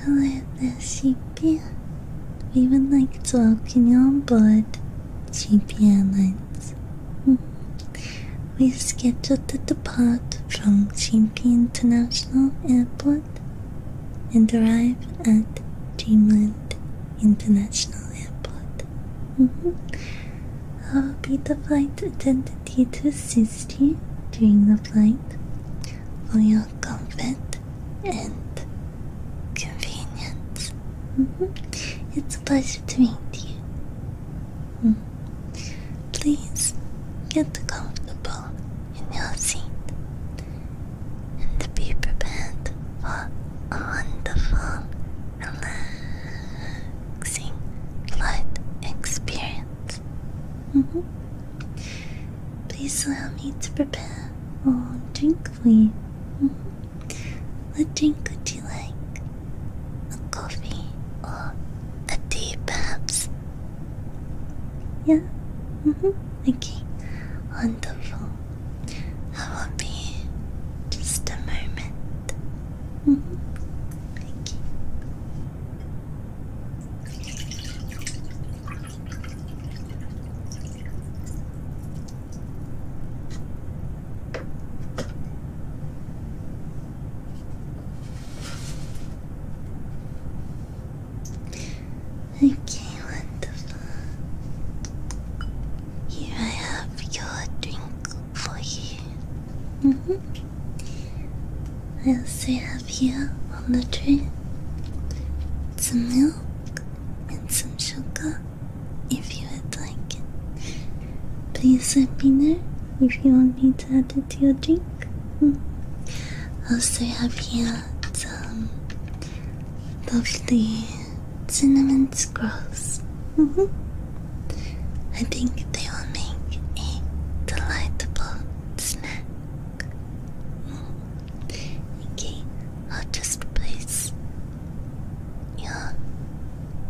Hello there, Sheepy. We would like to welcome you on board Sheepy Airlines. Hmm. we scheduled to depart from Sheepy International Airport and arrive at Dreamland International Airport. I hmm. will be the flight attendant to assist you during the flight for your comfort and convenience. Mm-hmm. It's a pleasure to meet you. Mm-hmm. Please get comfortable in your seat and be prepared for a wonderful, relaxing flight experience. Mm-hmm. Please allow me to prepare a drink for you. What drink would you like? A coffee or a tea, perhaps? Yeah? Mm Okay. Wonderful. I will be just a moment. Mm -hmm. Okay. Okay, wonderful. Here I have your drink for you. Mm-hmm. I also have here on the tray some milk and some sugar if you would like it. Please let me know if you want me to add it to your drink. Mm. Also have here some um, lovely cinnamon scrolls. Mm-hmm. I think they will make a delightful snack. Okay, i just place your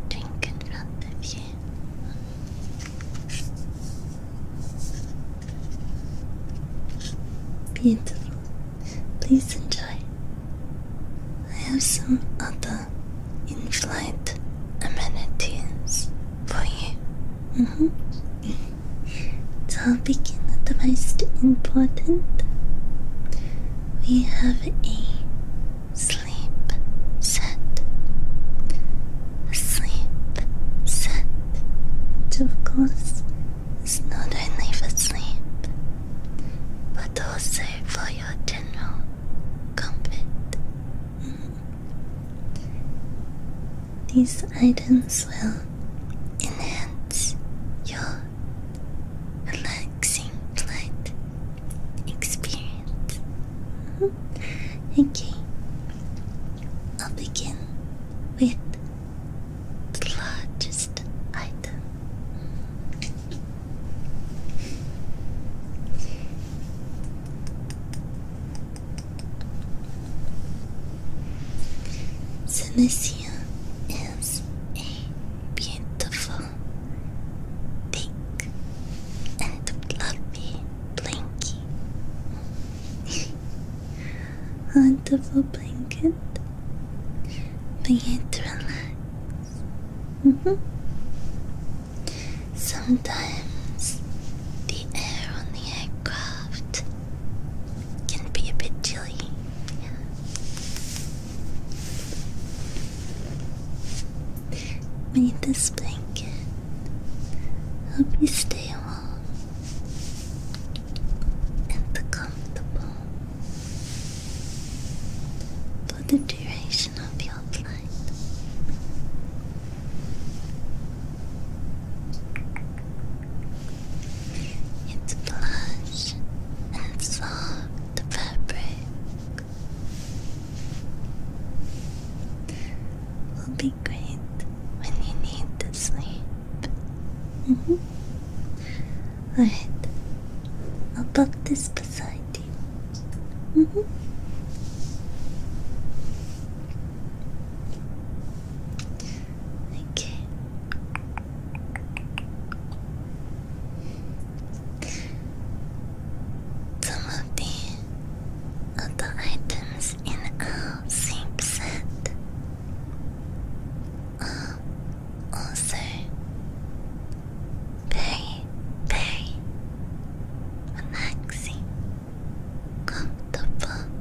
drink in front of you. Beautiful. Please enjoy. I have some other in flight amenities for you. Mm -hmm. So I'll begin with the most important. We have a sleep set. sleep set. of course is not only for sleep, but also for your general comfort. Mm-hmm. These items will enhance your relaxing flight experience. Mm -hmm. Okay, I'll begin with the largest item. Synesthesia is a beautiful, thick, and fluffy blanket. Wonderful blanket for you to relax. Mm -hmm. Sometimes the air on the aircraft can be a bit chilly. Yeah. Made this blanket. Hope you stay warm and comfortable for the duration of your flight. It's plush and soft The fabric. Will be great when you need to sleep. -hmm. Alright, I'll put this beside you. -hmm. Okay. Some of the other items in our sync set also very, very relaxing comfortable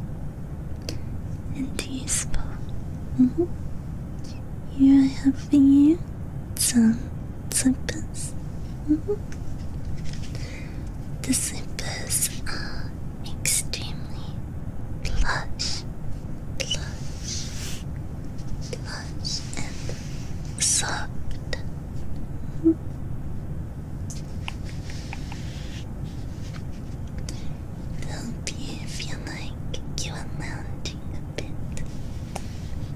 and useful. Here I have for you some slippers. Mm-hmm. The slippers are extremely plush, plush, plush, and soft. Mm-hmm. Hope you feel like you are mounting a bit,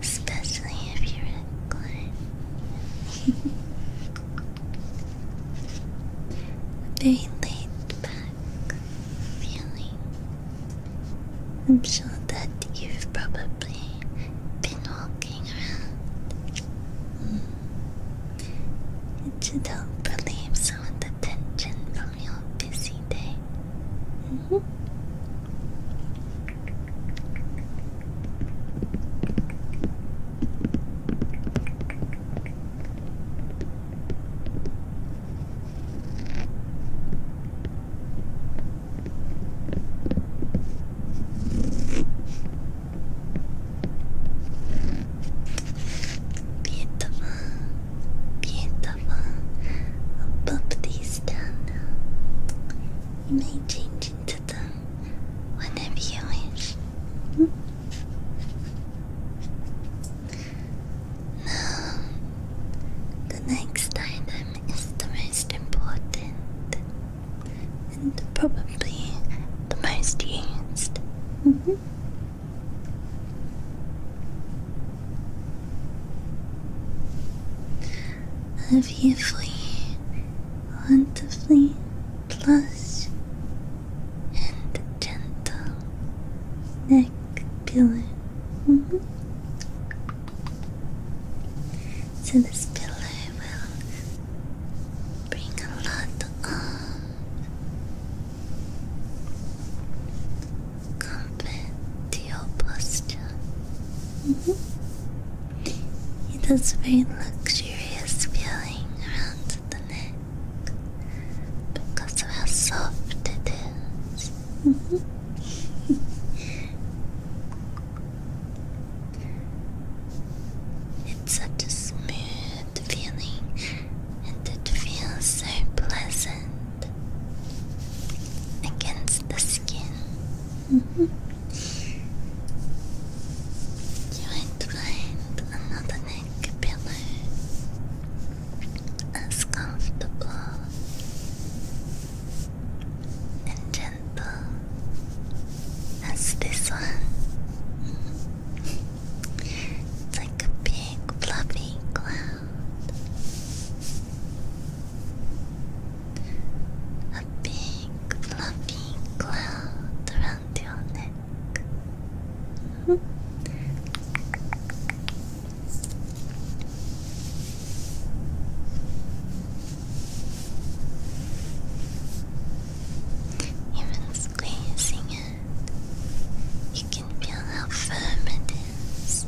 especially if you're a climb. Very laid back feeling. I'm sure that you've probably been walking around to help relieve some of the tension from your busy day. Mm-hmm. Beautiful, beautiful. I'll pop these down You may change into them whenever you wish. Hmm? Now, the next item is the most important and probably the most used. Mm -hmm. Obviously, wonderfully plush and gentle neck pillow. Mm -hmm. So this pillow will bring a lot of comfort to your posture. It has a very luxurious feeling around the neck because of how soft it is. Mm-hmm. It's such a smooth feeling, and it feels so pleasant against the skin. Mm-hmm. you find another neck as comfortable and gentle that's this one. it's like a big fluffy cloud. A big fluffy cloud around your neck. Even squeezing it, you can feel how firm it is,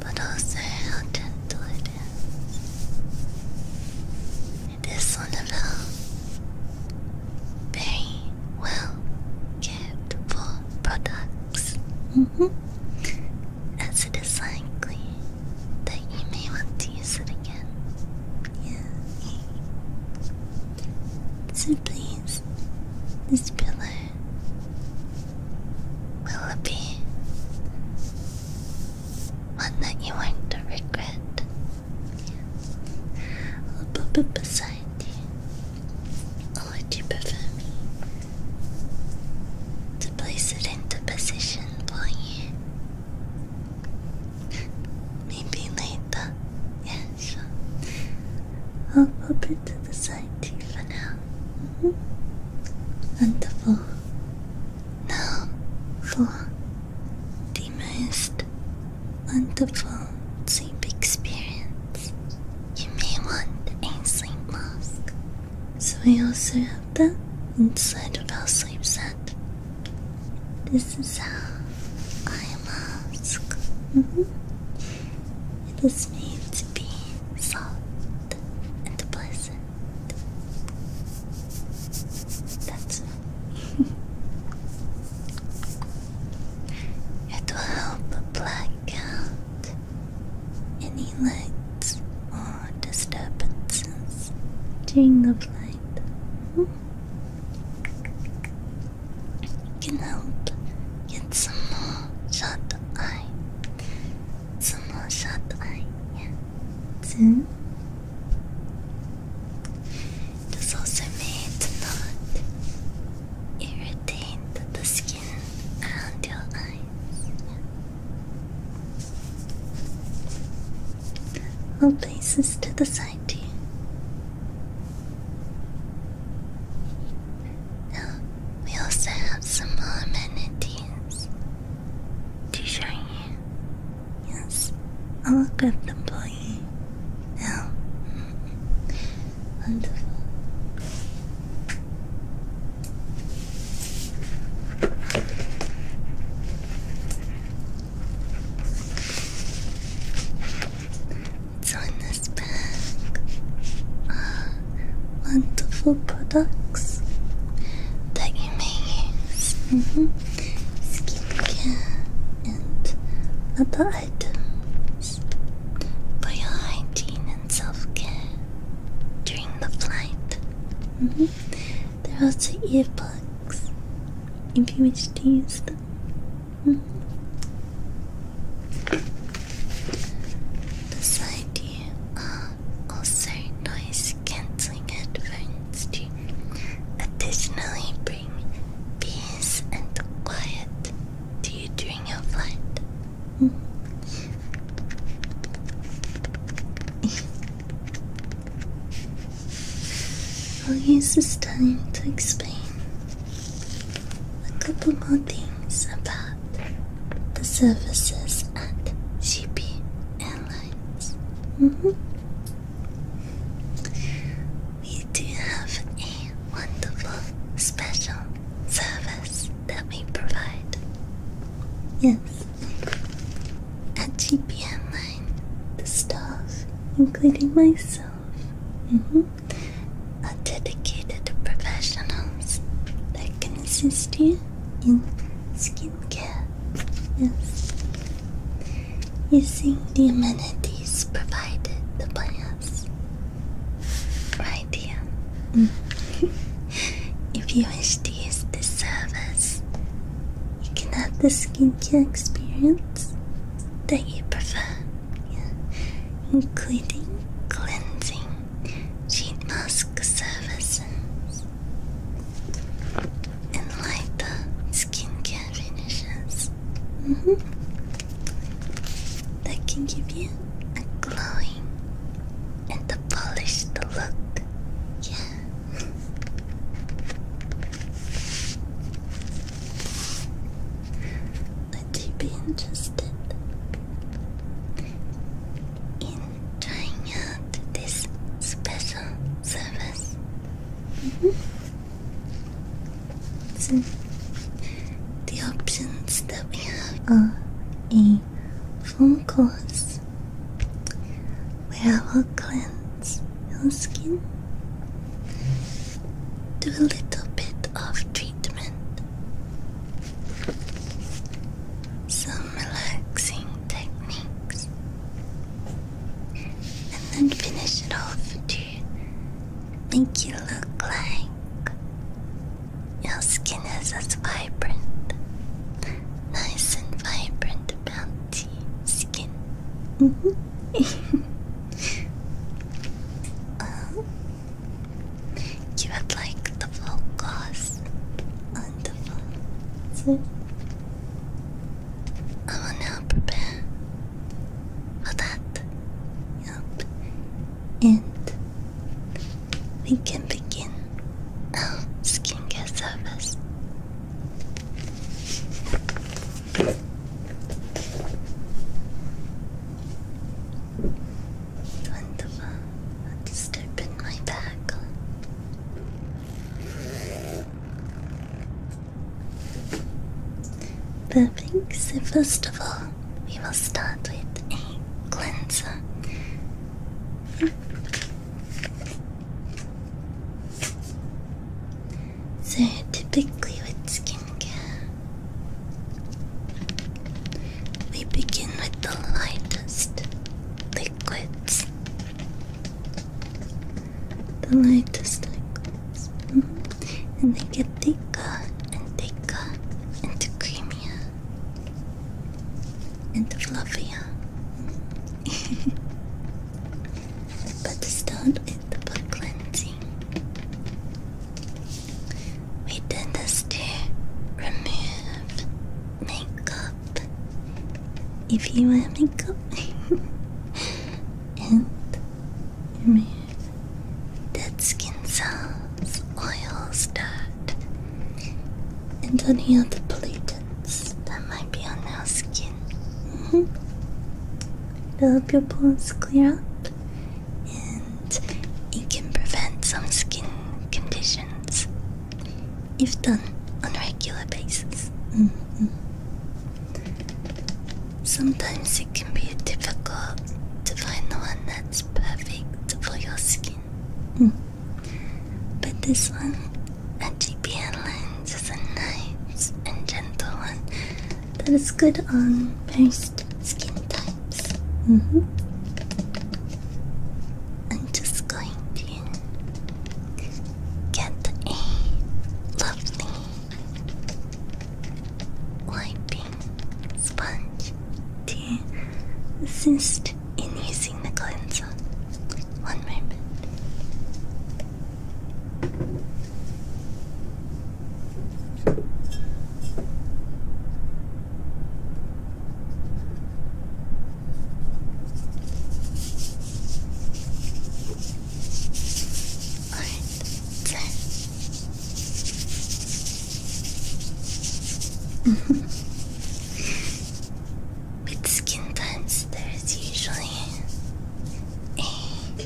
but also how tender it is. It is one of those very well cared for products, mm-hmm. as it is likely that you may want to use it again. Yeah. So please, this pillow will be one that you won't regret. I'll pop it beside you. I'll let you prefer me to place it into position for you? Maybe later. Yeah, I'll pop it to the side too for now. Wonderful. Mm-hmm. Now for the most wonderful sleep experience. You may want a sleep mask. So we also have that inside of our sleep set. This is our eye mask. Mm -hmm. It is made to be soft and pleasant. That's it. it will help black any lights disturbances during the flight mm -hmm. can help get some more shut eye, some more shut eye, yeah. Soon. Hmm? It is also made to not irritate the skin around your eyes. Yeah. I'll place this to the side to oh, Now, we also have some more amenities to show you. Yes, I'll grab them for Now, oh, mm-hmm. wonderful. It's on this bag. Ah, wonderful products that you may use. Mm -hmm. and other items for your hygiene and self care during the flight. -hmm. They're also earplugs. If you wish to use them. Beside you are also noise cancelling headphones to additionally bring peace and quiet to you during your flight. Mm-hmm. I'll use this time to explain a couple more things about the services at Shippey Airlines. Mm -hmm. We do have a wonderful special service that we provide. Yes, at GPM line, the staff, including myself, mm-hmm, are dedicated professionals that can assist you in skincare. Yes. Using the amenities provided by us. Right here. Mm. If you wish to use the service, you can have the skincare experience that you prefer, including cleansing, sheet mask services, and lighter skincare finishes mm-hmm. that can give you a glowing and polished look. Yeah. Would you be interested in trying out this special service? Mm-hmm. so the options that we have are a phone call we will cleanse your skin. Do a little bit of treatment, some relaxing techniques, and then finish it off to make you look like your skin is as vibrant nice and vibrant, bounty skin. Um, you would like the focus on I will now prepare for that. Yep. And we can begin Oh, skincare service. Wonderful. I'll open my bag. Perfect. So first of all, we will start with a cleanser. So typically with skincare, we begin with the lightest liquids. The lightest liquids. Mm-hmm. And they get thicker and thicker into creamier and fluffier. but start with the blood cleansing. We did to remove makeup. If you wear makeup, and remove dead skin cells, oils, dirt, and any other pollutants that might be on our skin. Mm -hmm. It'll help your pores clear up and it can prevent some skin conditions if done on a regular basis. Mm-hmm. Sometimes it can be difficult to find the one that's perfect for your skin. Mm. But this one a GPN lens is a nice and gentle one that is good on most skin types. Mm-hmm. I'm just going to get a lovely wiping sponge to assist in using the cleanser. One moment. Alright, so With skin types, there's usually a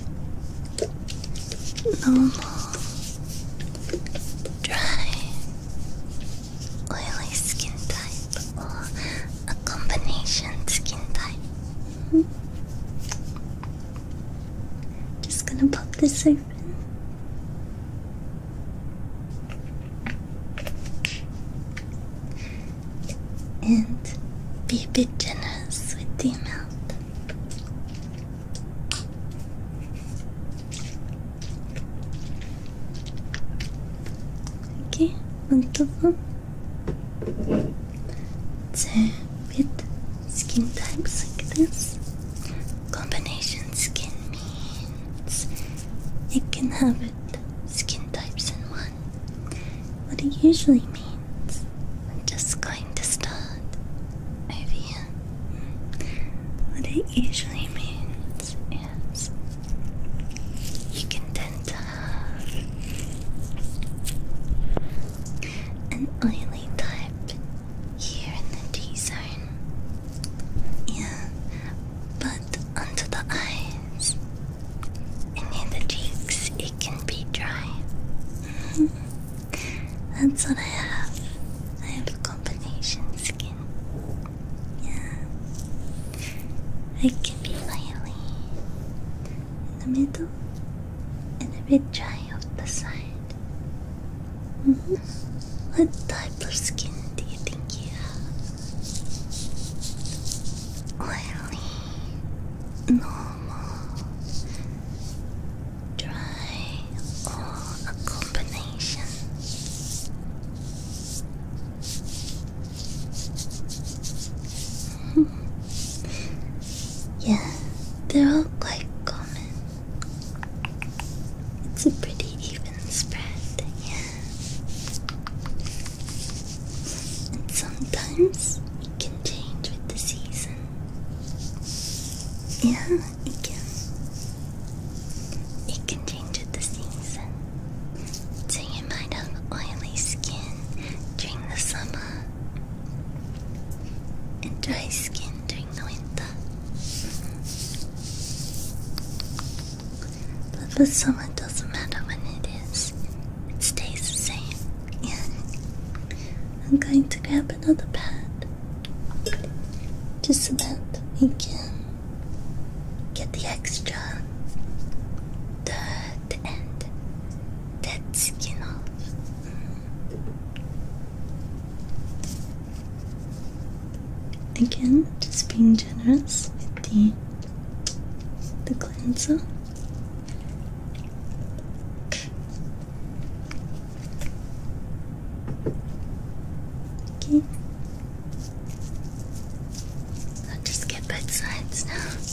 normal, dry, oily skin type or a combination skin type. Just gonna pop this open. And be a bit generous with the amount. Okay, wonderful. So, with skin types like this, combination skin means it can have skin types in one. What it usually means. I'm just going to start over What it usually means is you can tend to have an oily type here in the T zone. Yeah, but onto the eyes and in the cheeks it can be dry. Mm-hmm. That's what I have. I have combination skin. Yeah. It can be oily in the middle and a bit dry off the side. Mm-hmm. What type of skin do you think you have? oily, normal, dry, or a combination. Hmm. yeah, they're all quite common. It's a pretty even spread, yeah. And sometimes it can change with the season. Yeah, it can. It can change with the season. So you might have oily skin during the summer and dry skin during the winter. But with some, doesn't matter when it is, it stays the same. Yeah. I'm going to grab another pad to so again. get the extra dirt and dead skin Again, just being generous with the the cleanser. Okay. I'll just get both sides now.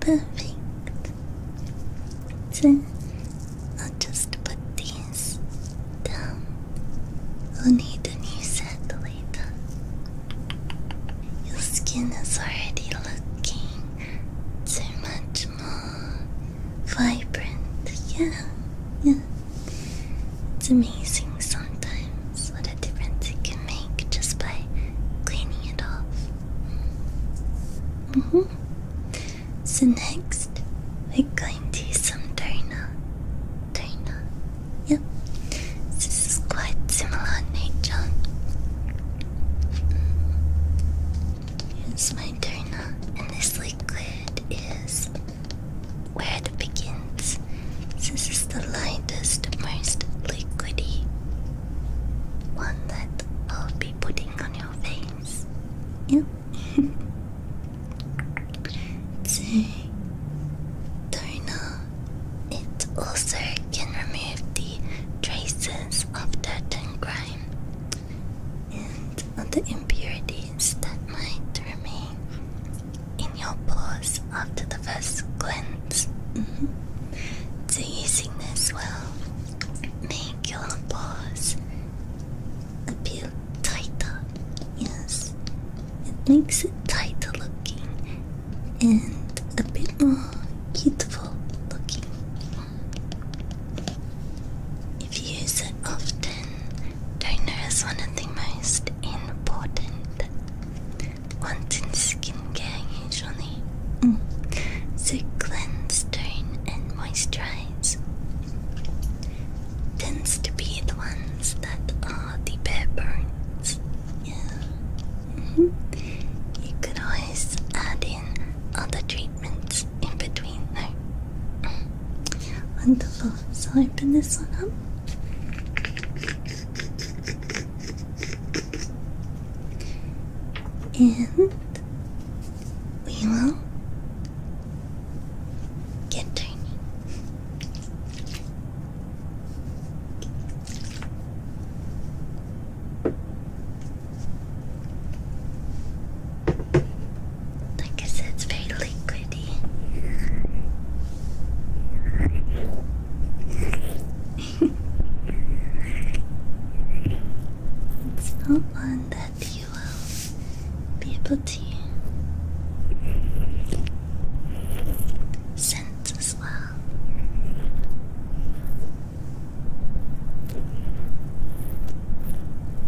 Perfect. So I'll just put these down. We'll need a new set later. Your skin is already looking so much more vibrant. Yeah, yeah. It's amazing sometimes what a difference it make just by cleaning it off. -hmm. So, next, we're going to use some Darna. Darna. Yep. This is quite similar in nature. Here's my Darna, and this liquid is where it begins. This is the lightest, most liquidy one that I'll be putting on your face. Yeah. to Torna, it also can remove the traces of dirt and grime and other impurities that might remain in your pores after the both mm-hmm. of using this will make your paws a bit tighter. Yes, it makes it tighter looking and a bit more beautiful looking. If you use it often, toner is one of the most important wanting skin care usually. Mm. So cleanse, tone, and moisturize tends to be the ones that are the bare bones. Yeah. Mm-hmm. You could always add in other treatments in between Wonderful. So open this one up. And we will get tiny. Like I said, it's very liquidy it's not one that you will be able to sense as well.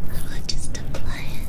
I will just apply it.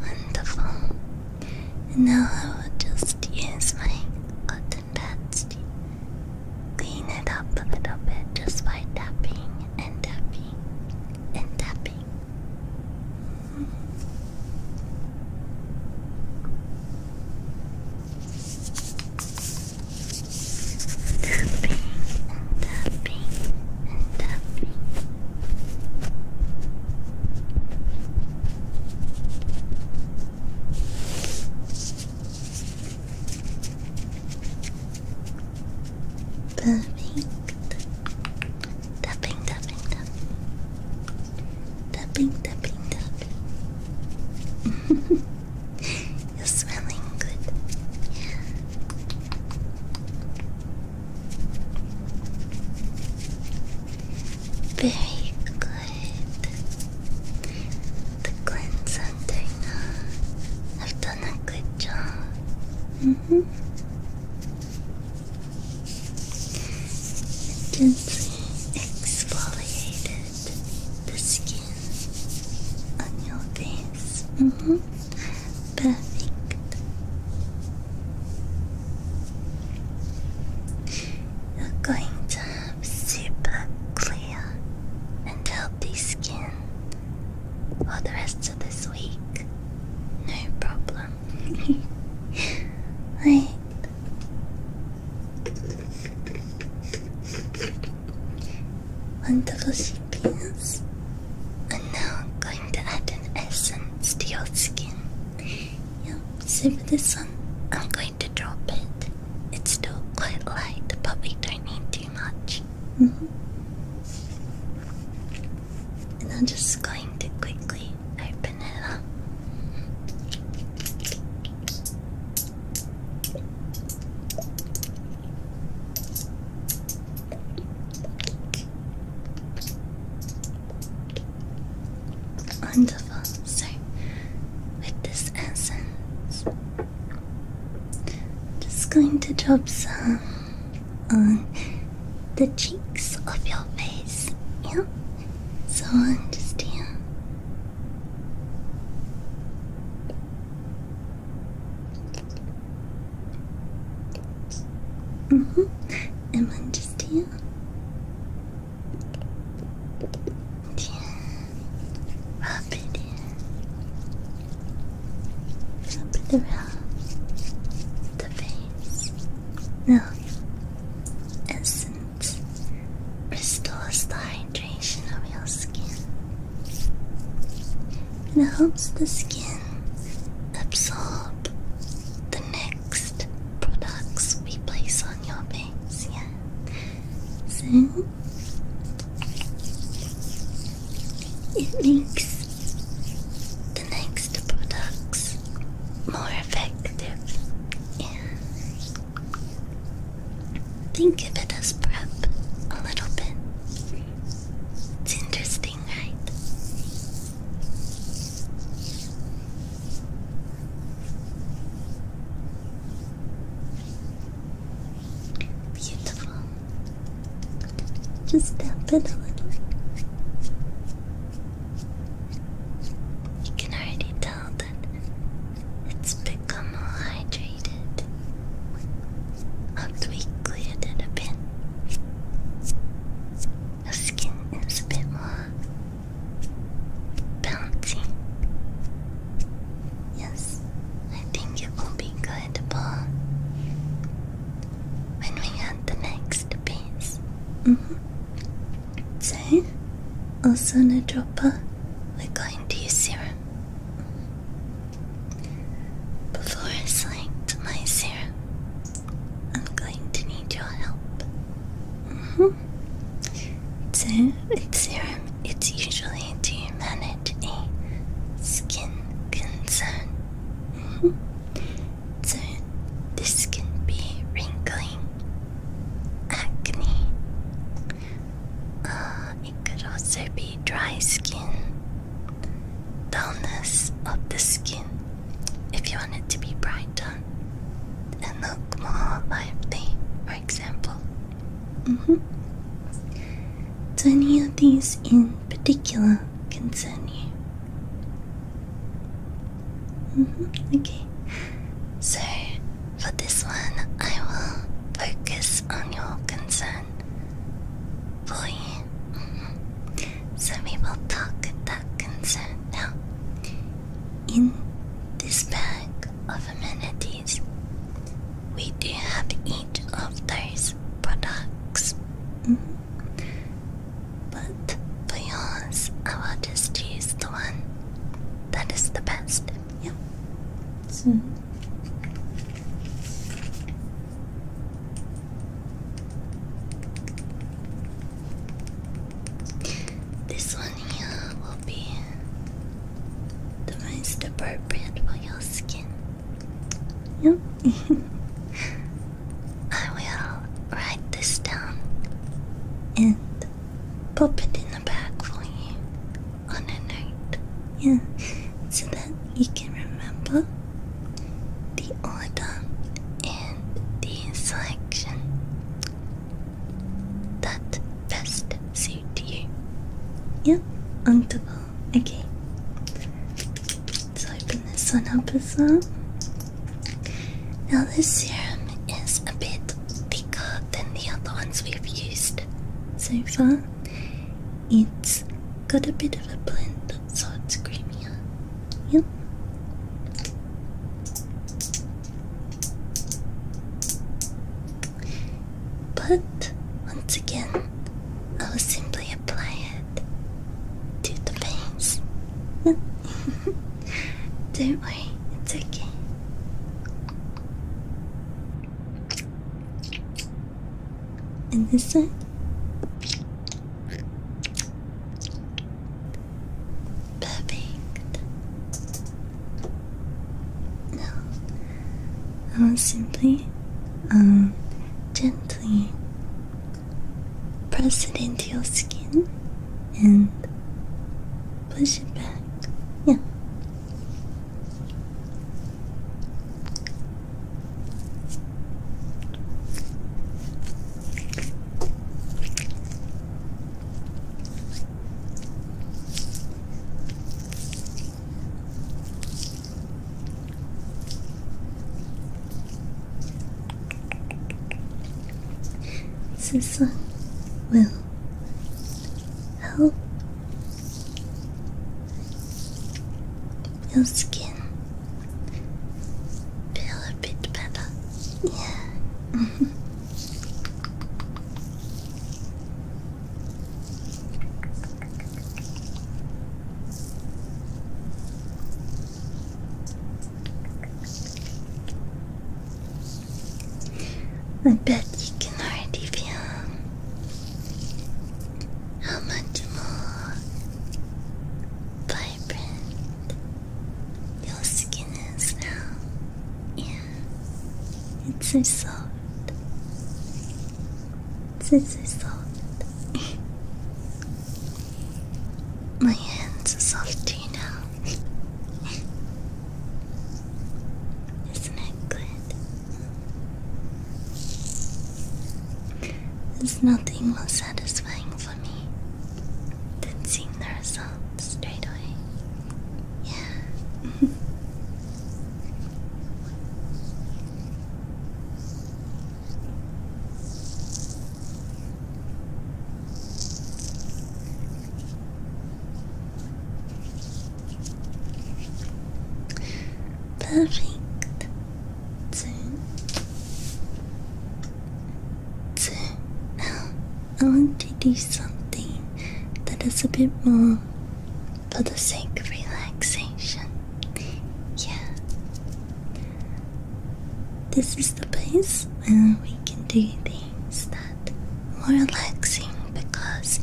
Wonderful. now I will just use my cotton pads to clean it up a little bit just by tapping and tapping and tapping. Mm -hmm. Perfect. Tapping, tapping, tapping. Tapping, tapping, tapping. You're smelling good. Yeah. Very good. The cleanse and I've done a good job. Mm -hmm. Gently exfoliated the skin on your face. -hmm. Perfect. You're going to have super clear and healthy skin for the rest of this week. No problem. right. Wonderful she things. And now I'm going to add an essence to your skin. Yep, see with this one? I'm going to drop it. It's still quite light, The we don't need too much. Mm-hmm. And I'm just going to quickly open it up. Wonderful. So, with this essence, just going to drop some on the cheeks of your face. Yeah. So on just Mm hmm. And then just here. Yeah. Rub it in. Rub it around the face. No. Essence restores the hydration of your skin and it helps the skin absorb the next products we place on your face. Yeah. So it makes the next products more effective. Think of it as prep a little bit. It's interesting, right? Beautiful. Just tap it a little. You can already tell that it's become all hydrated. Once we cleared it a bit, the skin is a bit more bouncy. Yes, I think it will be good for when we add the next piece. Mm -hmm. So, also in a dropper, we're going to use serum. Before I select my serum, I'm going to need your help. Mm-hmm. So, with serum, it's usually to manage skin concern. Mm-hmm. So, this can be wrinkling, acne. Uh, it could also be dry skin, dullness of the skin if you want it to be brighter and look more lively, for example. Mm any of these in particular concern you? Mm-hmm, okay, so for this one, I will focus on your concern boy. Mm -hmm. Some people talk that concern. Now, in this bag of amenities, we do have each of those products. Mm-hmm. But for yours, I will just use the one that is the best. Yeah. So. Hmm. This one here will be the most appropriate for your skin. Yep. I will write this down and pop it in the bag for you on a note. Yeah, so that you can remember the order and the selection that best suit you. Yep, on the ball. Okay. Let's open this one up as well. Now this serum is a bit thicker than the other ones we've used so far. It's got a bit of a blend, so it's creamier. Yep. But once again, I will simply apply it to the veins. Don't worry, it's okay. And this one, Perfect. Now, I'll simply, um, gently press it into your skin and push it back. Yeah. This one will help your skin feel a bit better. Yeah. I bet you can already feel how much more vibrant your skin is now. Yeah, it's so soft. It's so soft. My hands are soft too now. Isn't it good? There's nothing more satisfying for me than seeing the results straight away. Yeah. Perfect. ずず I want to do something that is a bit more for the sake of relaxation. Yeah. This is the place where we can do things that are relaxing because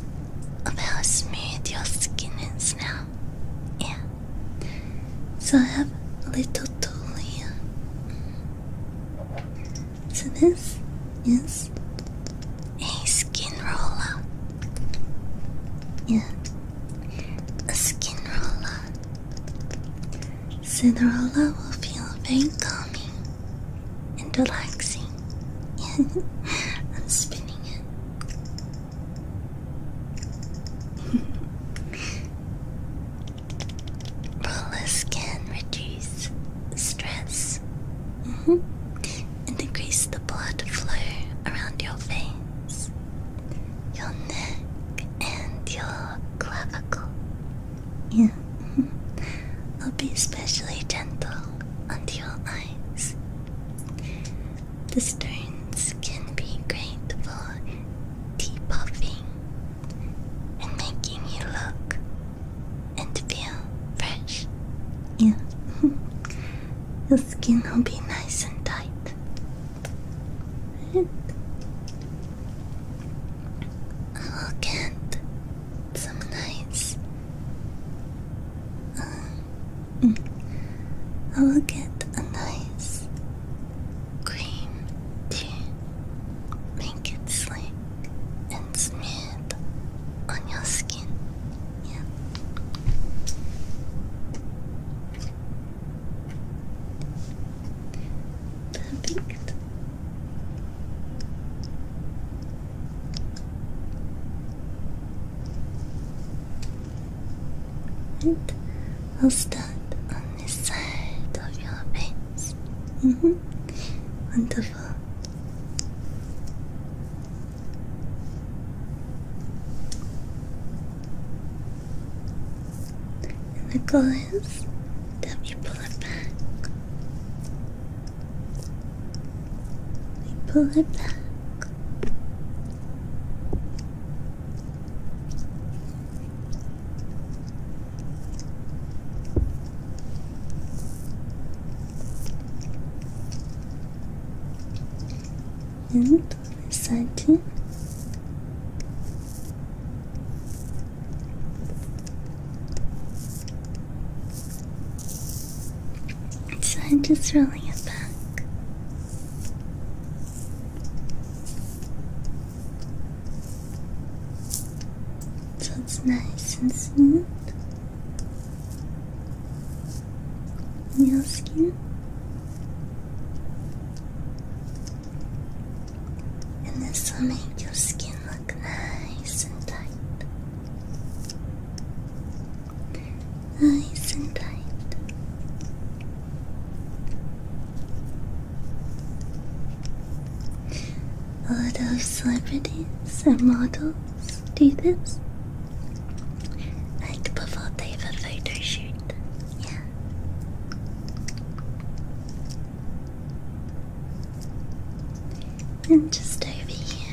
of how smooth your skin is now yeah. So I have a little tool here. So this is a skin roller. Yeah, a skin roller. So the roller will feel very calming and relaxing. Yeah, I'm spinning it. Rollers can reduce stress mm-hmm. and increase the blood flow around your veins, your neck, and your clavicle. Yeah. Mm-hmm. I'll be especially gentle under your eyes. The stones can be great for deep puffing and making you look and feel fresh. Yeah. Your skin will be nice and tight. Right? I'll get some nice uh, I will get a nice cream to Make it slick and smooth on your skin. Perfect. And I'll start on this side of your face. Mm-hmm. And the goal is that we pull it back. pull it back. So i I'm just rolling it back. So it's nice and smooth your skin. And this will make your skin look nice and tight nice and tight. A lot of celebrities and models do this. Like before they have a photo shoot. Yeah. And just over here,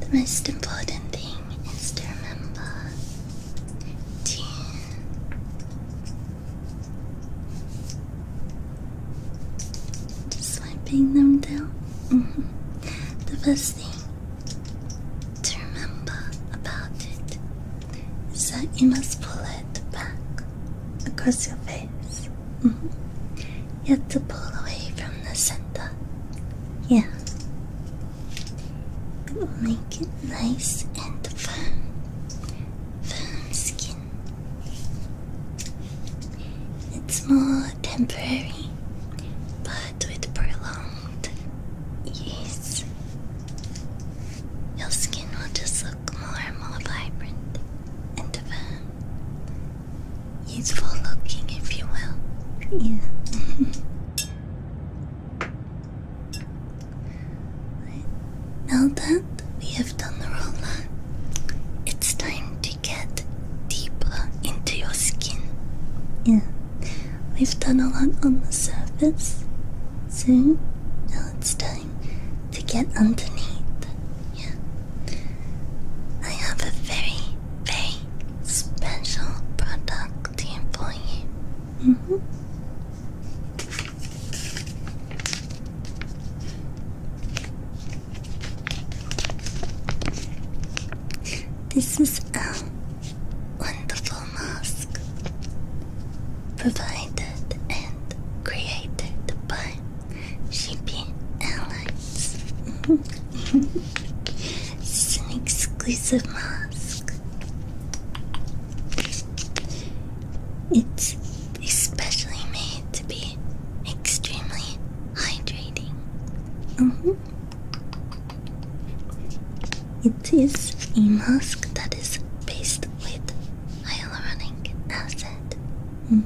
The most important thing is to remember to just wiping them down. Mm-hmm. The best thing to remember about it is that you must pull it back across your face Mm-hmm. You have to pull away from the center. Yeah. It will make it nice and firm. Firm skin. It's more temporary, but with prolonged use, your skin will just look more and more vibrant and firm Useful looking, if you will. Yeah. Now that we have done the roller, it's time to get deeper into your skin. Yeah. We've done a lot on the surface. So now it's time to get underneath yeah. I have a very, very special product here for you. Mm-hmm. This is a wonderful mask provided and created by Shipping Airlines. this It's an exclusive mask. It's especially made to be extremely hydrating. Mm-hmm. It is a mask that is based with hyaluronic acid. Mm.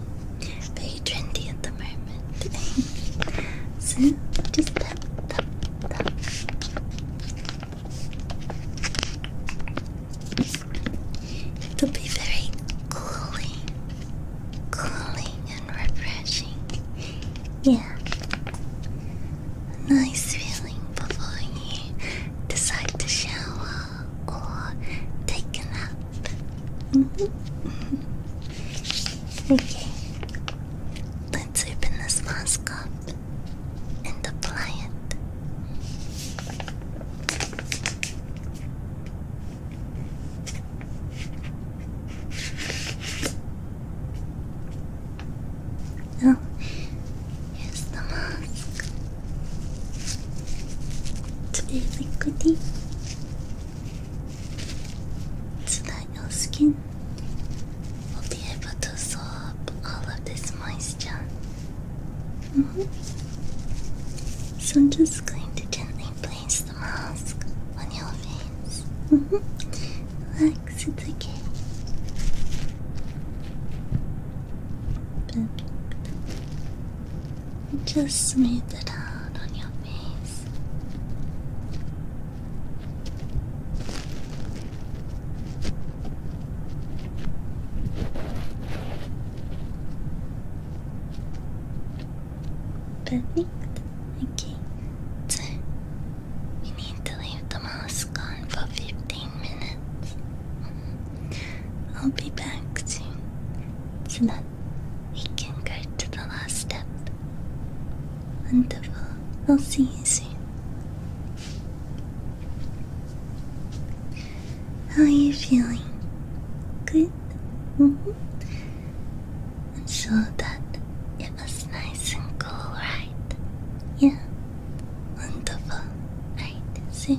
Very trendy at the moment. so just tap, tap, tap. It will be very cooling, cooling and refreshing. Yeah, nice feeling before you decide to shower or take a nap. Okay, mm-hmm. let's open this mask up and apply it. Oh, here's the mask. It's really goody so that your skin will be able to absorb all of this moisture. Mm-hmm. So I'm just going to gently place the mask on your face. Mm -hmm. Relax, it's okay. Perfect. Just smooth it out on your face. Perfect. Okay. So you need to leave the mask on for 15 minutes. I'll be back soon. So that we can go to the last step. Wonderful. I'll see you soon. How are you feeling? Good? Mm-hmm. I'm sure that it was nice and cool, right? Yeah. Wonderful. Right, so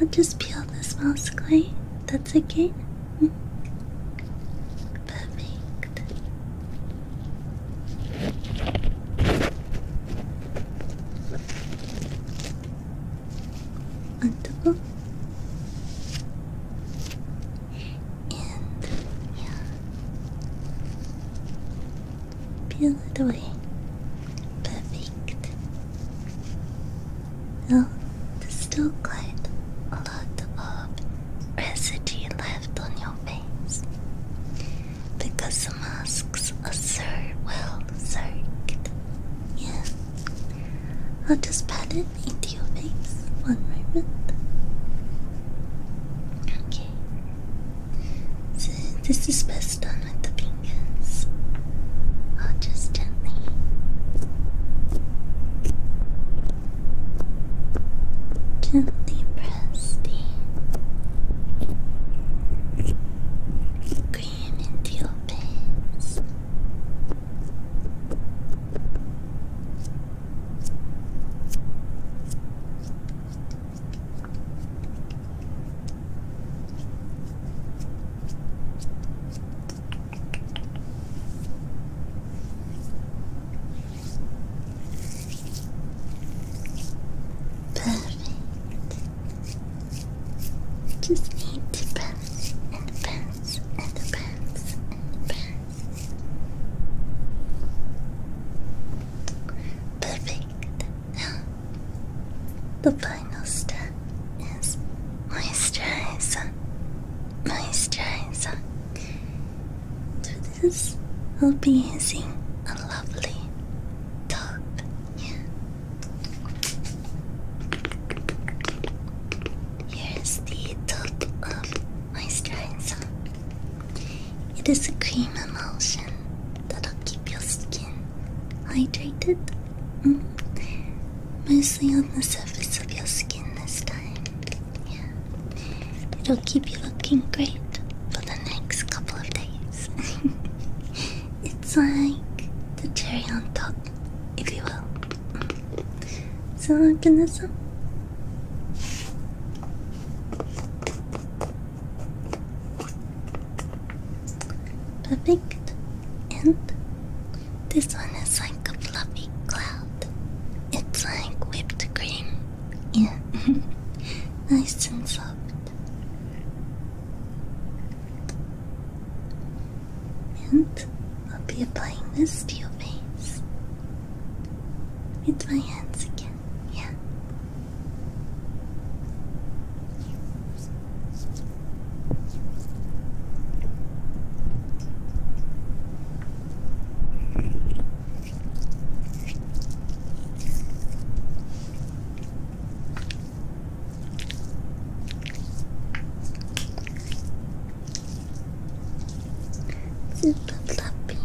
I'll just peel this mask away. That's okay. Perfect. And Peel it away. Perfect. No, there's still quite a lot of residue left on your face because the masks are so well soaked. Yeah. I'll just pat it into your face. One moment. Okay. So this is best done with the fingers. I'll just instantly. Gently press the green into your face. Perfect. Just need to bounce and bounce and bounce and bounce. Perfect. the final step is moisturizer. Moisturizer. To this, I'll be using a lovely top. Here's the top of moisturizer. It is a cream emulsion that'll keep your skin hydrated. Mm-hmm mostly on the surface of your skin this time. Yeah. It'll keep you looking great for the next couple of days. it's like the cherry on top, if you will. So I'm gonna sum. Perfect and this one is like a fluffy cloud. It's like whipped cream. Yeah. nice and soft. And I'll be applying this to your face with my hands again. Yeah. Super lovely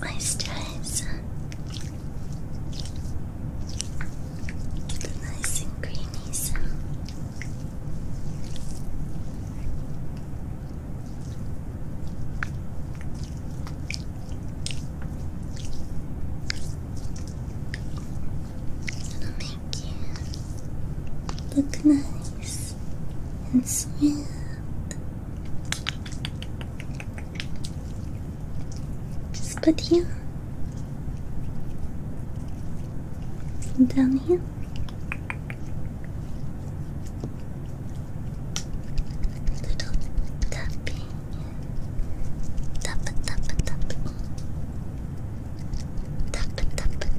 moisturizer. Nice and creamy sound. It'll make you look nice and smooth. Just put you down here. Little tapping. Tap tap tap. Tap tap tap. Tap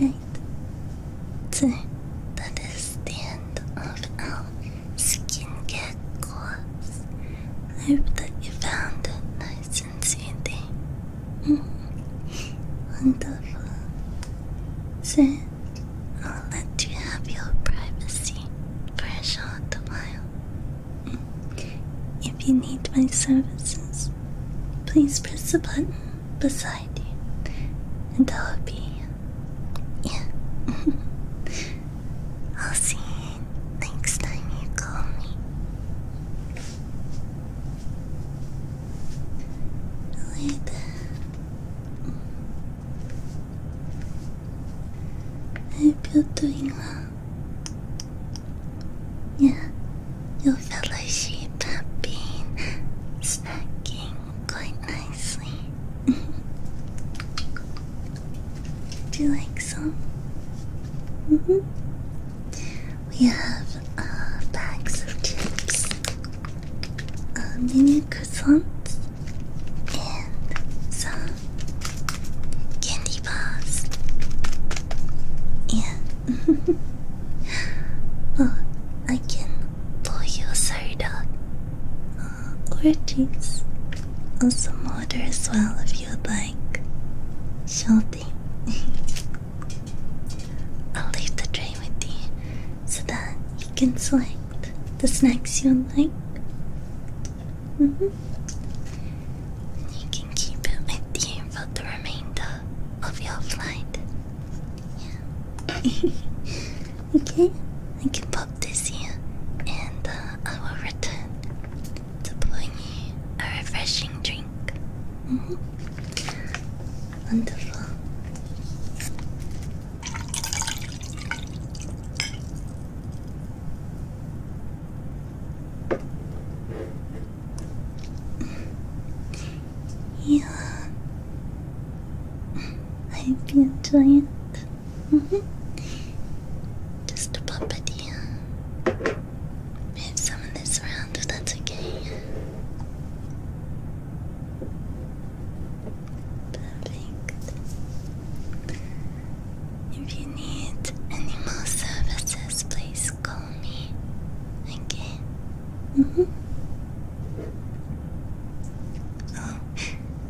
Right. So that is the end of our skincare course. I hope that you found it nice and soothing. Mm-hmm. Wonderful. So I'll let you have your privacy for a short while. If you need my services, please press the button beside you, and I'll be. Yeah. I'll see you next time you call me. Later. I hope you're doing Yeah, your fellow sheep have been snacking quite nicely. Do you like some? Mm -hmm. We have uh, bags of chips, uh, mini and some candy bars. Yeah. oh, I can pour you a soda uh, or juice or some water as well if you'd like. Shorty. I'll leave the tray with you so that you can select the snacks you like. You can keep it with for the remainder of your flight. okay, I can pop this here and uh, I will return to bring you a refreshing drink. Mm-hmm. Wonderful. Yeah. I hope you enjoy it. Just a puppet here. Move some of this around that's okay. Perfect. If you need any more services, please call me. Okay? Mm -hmm. Oh,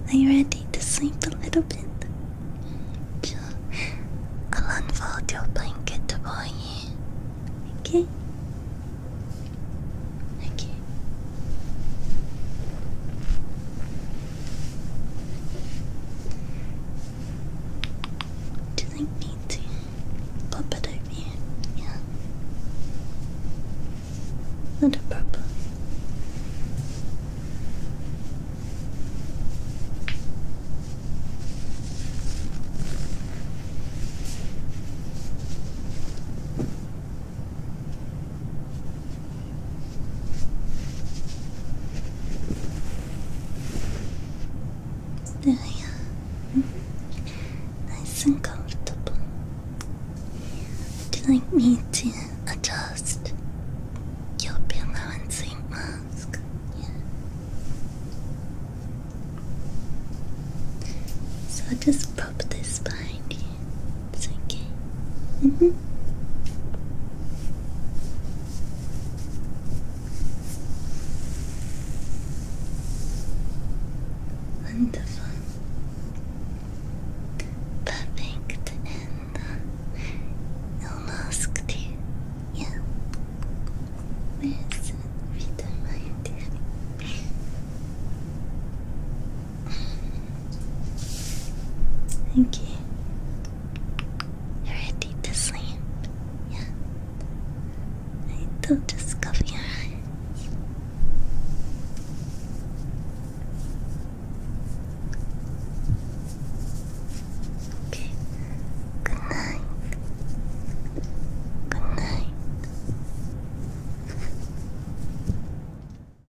are you ready to sleep a little bit? Sure. I'll unfold your blanket for you. Okay? Okay. Do you need to pop it over Yeah. Not a problem. There we Nice and comfortable. Would you like me to adjust your pillow and sleep mask? Yeah. So just prop this behind you. It's okay. Mm -hmm. Wonderful. Perfect and uh, no mask too. Yeah. Where's uh, Vita Mind? Thank you. You're ready to sleep. Yeah. I do just cover your Okay. Good night. Good night.